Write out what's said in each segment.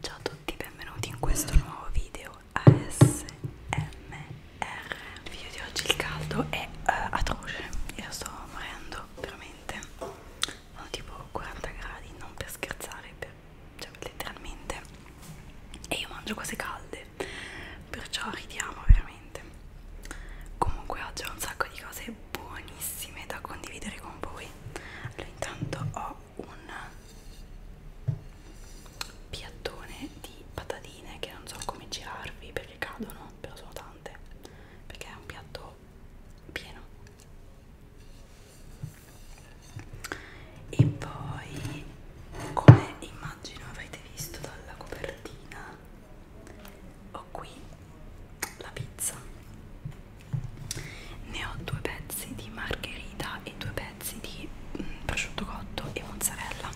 Ciao a tutti, benvenuti in questo nuovo video ASMR. Il video di oggi il caldo è uh, atroce, io sto morendo veramente. Sono tipo 40 gradi, non per scherzare, per, cioè letteralmente. E io mangio cose calde, perciò ridiamo veramente. Comunque oggi ho un sacco di cose buonissime da condividere con voi allora intanto ho un piattone di patatine che non so come girarvi perché cadono però sono tante perché è un piatto pieno e poi come immagino avrete visto dalla copertina ho qui la pizza ne ho due pezzi di margherita e due pezzi di mm, prosciutto cotto e mozzarella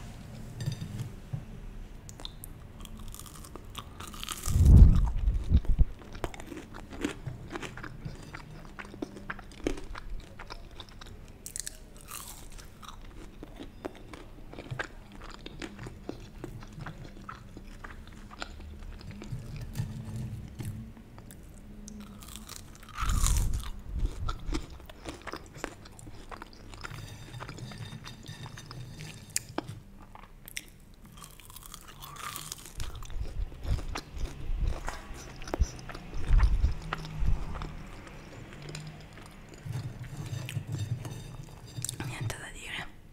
niente da dire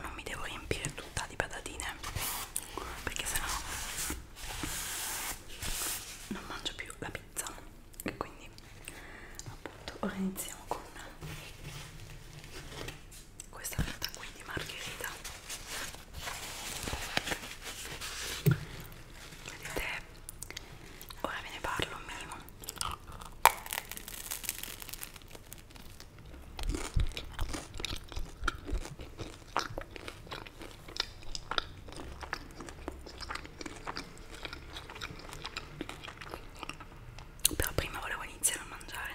non mi devo riempire tutta di patatine perché sennò non mangio più la pizza e quindi appunto ora iniziamo con questa carta qui di margherita vedete ora ve ne parlo un minimo però prima volevo iniziare a mangiare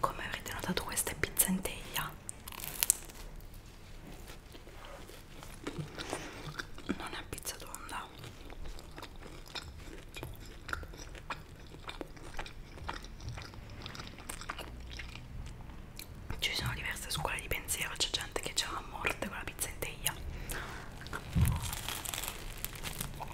come avrete notato questa è pizza in teglia non è pizza tonda ci sono diverse scuole di pensiero c'è gente che c'è a morte con la pizza in teglia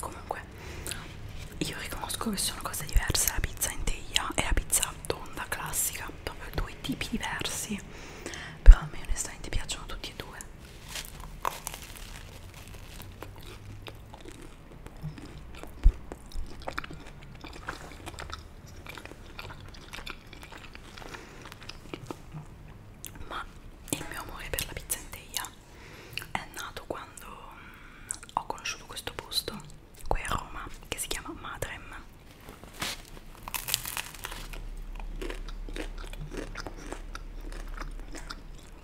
Comunque, io riconosco che sono cose diverse la pizza in teglia e la pizza tonda classica, proprio due tipi diversi però a me onestamente piacciono tutti e due ma il mio amore per la pizzanteia è nato quando mm, ho conosciuto questo posto qui a Roma che si chiama Madrem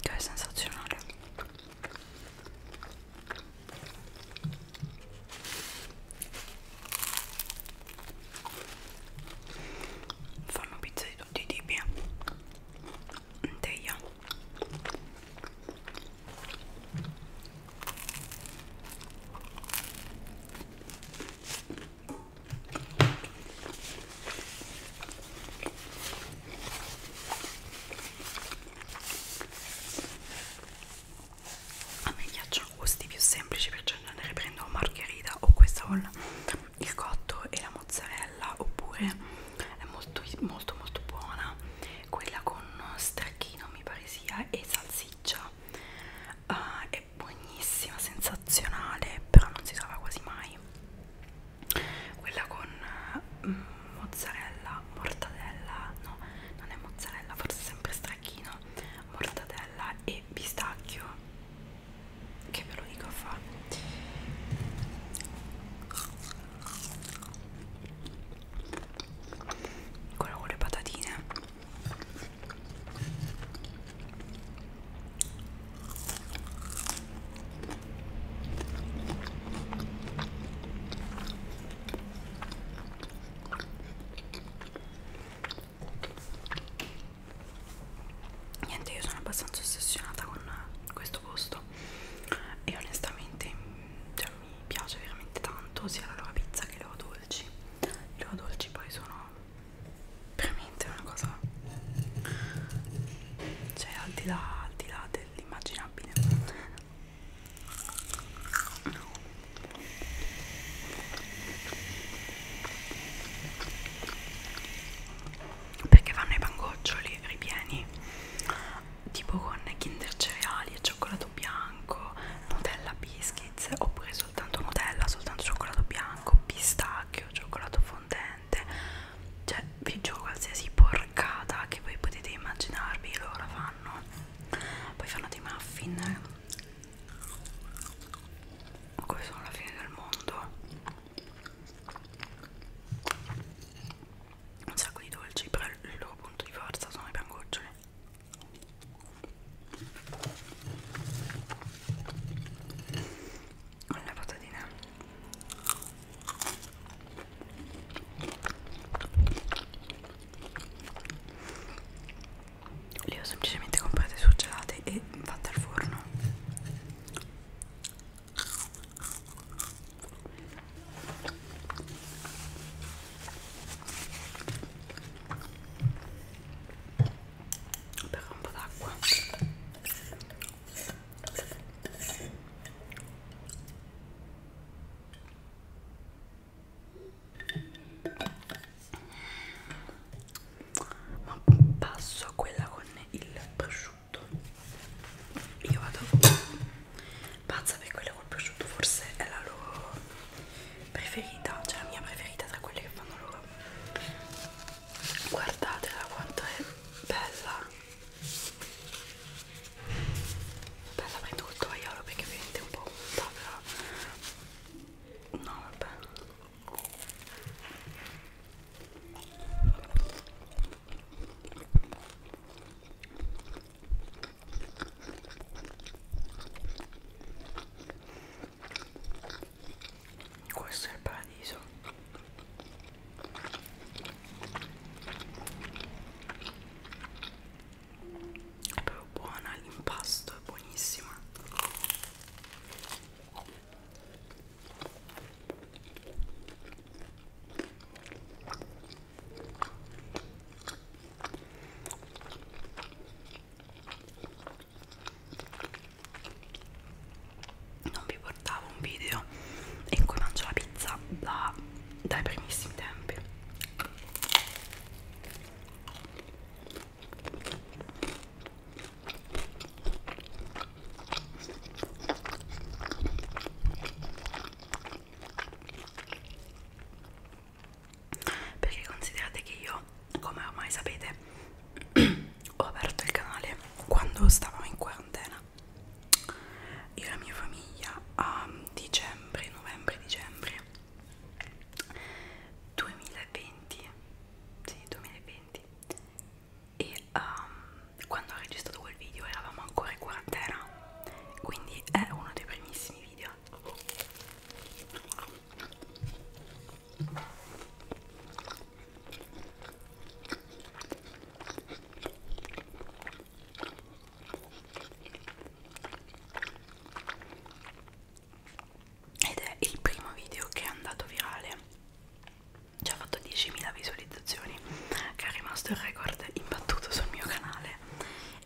che è sensazionale fanno pizza di tutti i tipi in teglia a me piacciono gusti più semplici perciò cioè, non ne riprendo margherita o questa con il cotto e la mozzarella oppure è molto molto molto buona quella con stracchino mi pare sia e salsiccia uh, è buonissima, sensazionale, però non si trova quasi mai. Quella con eh, mm, mozzarella, mortadella, no, non è mozzarella, forse è sempre stracchino, mortadella e pistacchio. Che ve lo dico a fa. Quella con le patatine Niente, io sono abbastanza ossessionata con questo posto e onestamente cioè, mi piace veramente tanto sia la loro pizza che i loro dolci. I loro dolci poi sono veramente una cosa cioè al di là, al di là dell'immaginabile perché fanno i pangoccioli ripieni tipo con kinder cereali e cioccolato bianco nutella biscuits oppure soltanto Nutella, soltanto cioccolato bianco, pistacchio, cioccolato fondente, cioè vi gioco qualsiasi porcata che voi potete immaginarvi, loro la fanno, poi fanno dei muffin, ma come sono la fine del mondo, un sacco di dolci, però il loro punto di forza sono i pangoccioli con la patatina le ho semplicemente comprate surgelate e fatte al forno Bevo un po' d'acqua. Ma passo a quella con il prosciutto. Io vado pazza per quella col prosciutto, forse è la loro preferita, cioè la mia preferita tra quelle che fanno loro guardatela quanto è bella bella prendo col tovagliolo perché ovviamente è un po' punta però no vabbè questo è il paradiso è proprio buona l'impasto è buonissima non vi portavo un video in cui mangio la pizza da, dai primissimi tempi perché considerate che io come ormai sapete ho aperto il canale quando stavamo in quarantena io e la mia famiglia a dicembre, novembre, dicembre 2020 sì 2020 e um, quando ho registrato quel video eravamo ancora in quarantena quindi è uno dei primissimi video ed è il primo video che è andato virale già fatto 10.000 visualizzazioni che è rimasto il record imbattuto sul mio canale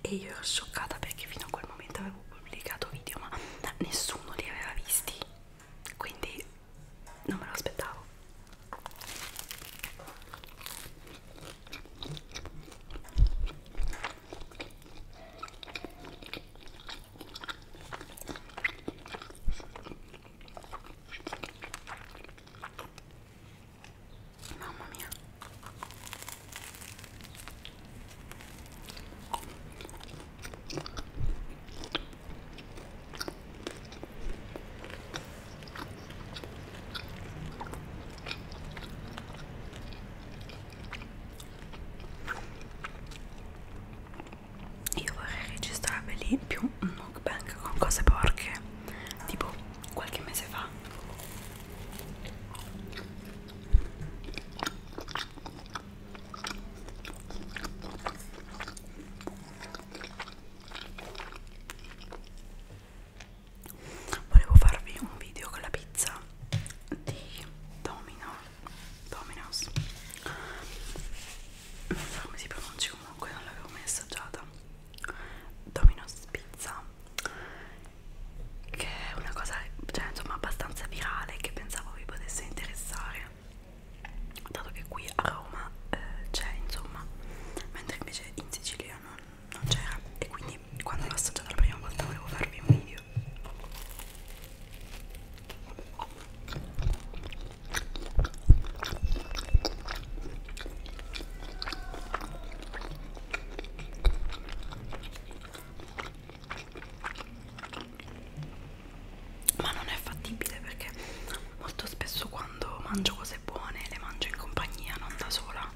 e io ero scioccata perché fino a quel momento avevo pubblicato video ma nessuno li aveva visti quindi non me lo aspettavo Mamma mia io vorrei registrare per lì più un mukbang con cose porche, tipo qualche mese fa. Volevo farvi un video con la pizza di Domino Domino's non so come si pronuncia comunque, non l'avevo mai assaggiata Domino's Pizza che è una cosa, cioè insomma abbastanza virale che pensavo vi potesse interessare dato che qui a Roma eh, c'è insomma mentre invece in Sicilia non, non c'era e quindi quando l'ho assaggiata la prima volta volevo farvi un video ma non è fattibile perché molto spesso quando mangio cose buone le mangio in compagnia non da sola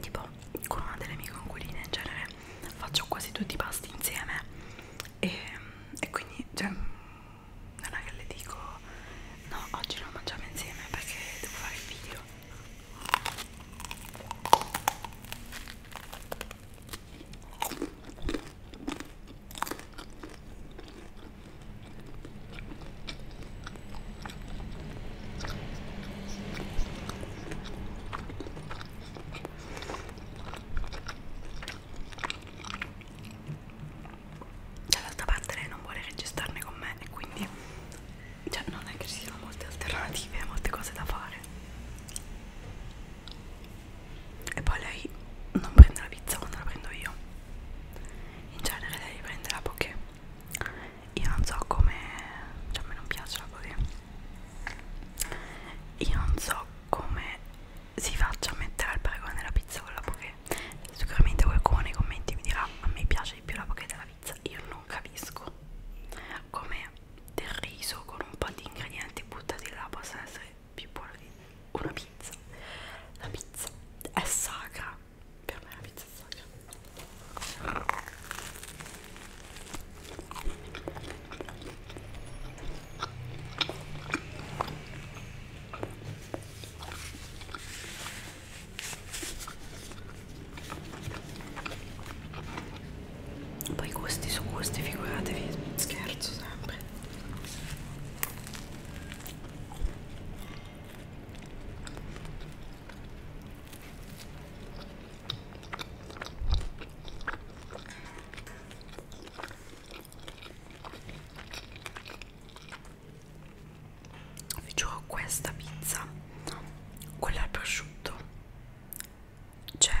tipo con una delle mie conquiline in genere faccio quasi tutti i pasti insieme e, e quindi cioè, non è che le dico no oggi non mangiamo insieme perché devo fare il video dall'altra parte lei non vuole registrarne con me e quindi cioè non è che ci siano molte alternative molte cose da fare e poi lei non prende la pizza quando la prendo io in genere lei prende la poké io non so come cioè a me non piace la poké io non so come si faccia a mettere al paragone la pizza con la poké sicuramente qualcuno nei commenti mi dirà a me piace di più la poké della pizza io non capisco come del riso con un po' di ingredienti buttati là possa essere più buono di una pizza la pizza è sacra per me la pizza è sacra poi gusti su gusti, figuratevi, scherzo sempre vi giuro questa pizza quella al prosciutto cioè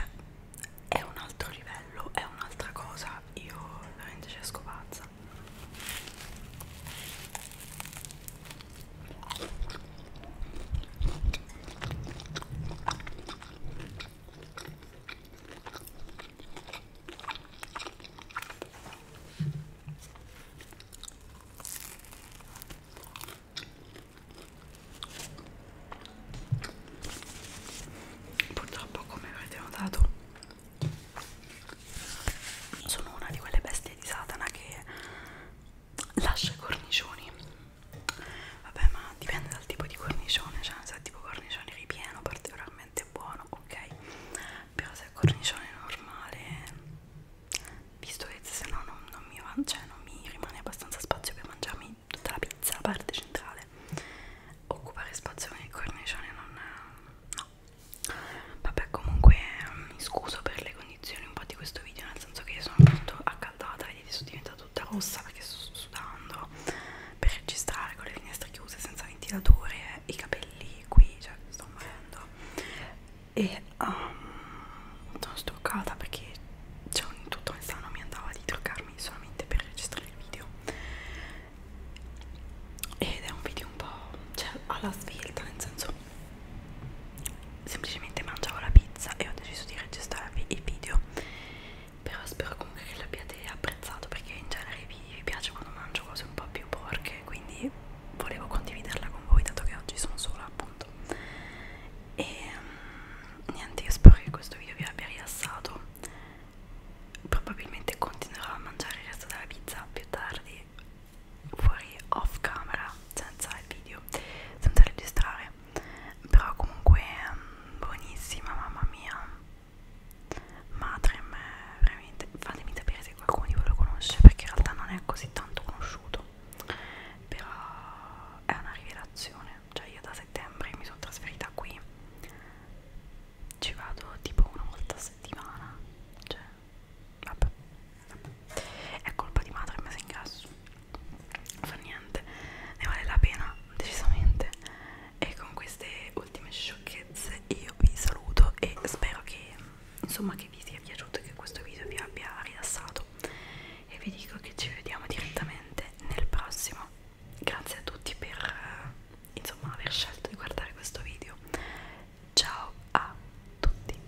è un altro livello è un'altra cosa io veramente ci esco pazza Purtroppo, come avete notato, sono una di quelle bestie di Satana che lascia i cornicioni vabbè ma dipende dal tipo di cornicione cioè se è tipo cornicione ripieno particolarmente buono ok però se è cornicione normale visto che se no non, non, mi, cioè, non mi rimane abbastanza spazio per mangiarmi tutta la pizza la parte centrale occupare spazio con il cornicione non no vabbè comunque mi scuso per le condizioni un po' di questo video nel senso che sono appunto accaldata capelli sono diventata tutta rossa perché sto sudando per registrare con le finestre chiuse senza ventilatore eh, i capelli qui cioè sto morendo e um, sono struccata perché cioè, in tutto il sano mi andava di truccarmi solamente per registrare il video ed è un video un po' cioè alla svelta nel senso semplicemente mangiavo la pizza e ho deciso di registrarvi il video però spero comunque che l'abbiate apprezzato perché in genere vi piace quando mangio cose un po' più porche quindi volevo condividerla con voi dato che oggi sono sola appunto e um, niente io spero che questo video vi abbia rilassato probabilmente continuerò a mangiare il resto della pizza più tardi fuori off camera senza il video senza registrare però comunque mm, buonissima mamma mia Matrem veramente fatemi sapere se qualcuno di voi lo conosce perché in realtà non è così tanto conosciuto però è una rivelazione cioè io da settembre mi sono trasferita qui ci vado tipo una volta a settimana cioè vabbè, vabbè. è colpa di Matrem se ingrasso fa niente, ne vale la pena decisamente e con queste ultime sciocchezze io vi saluto e spero che insomma che vi sia piaciuto che questo video vi abbia rilassato e vi dico che ci vediamo direttamente nel prossimo grazie a tutti per insomma aver scelto di guardare questo video ciao a tutti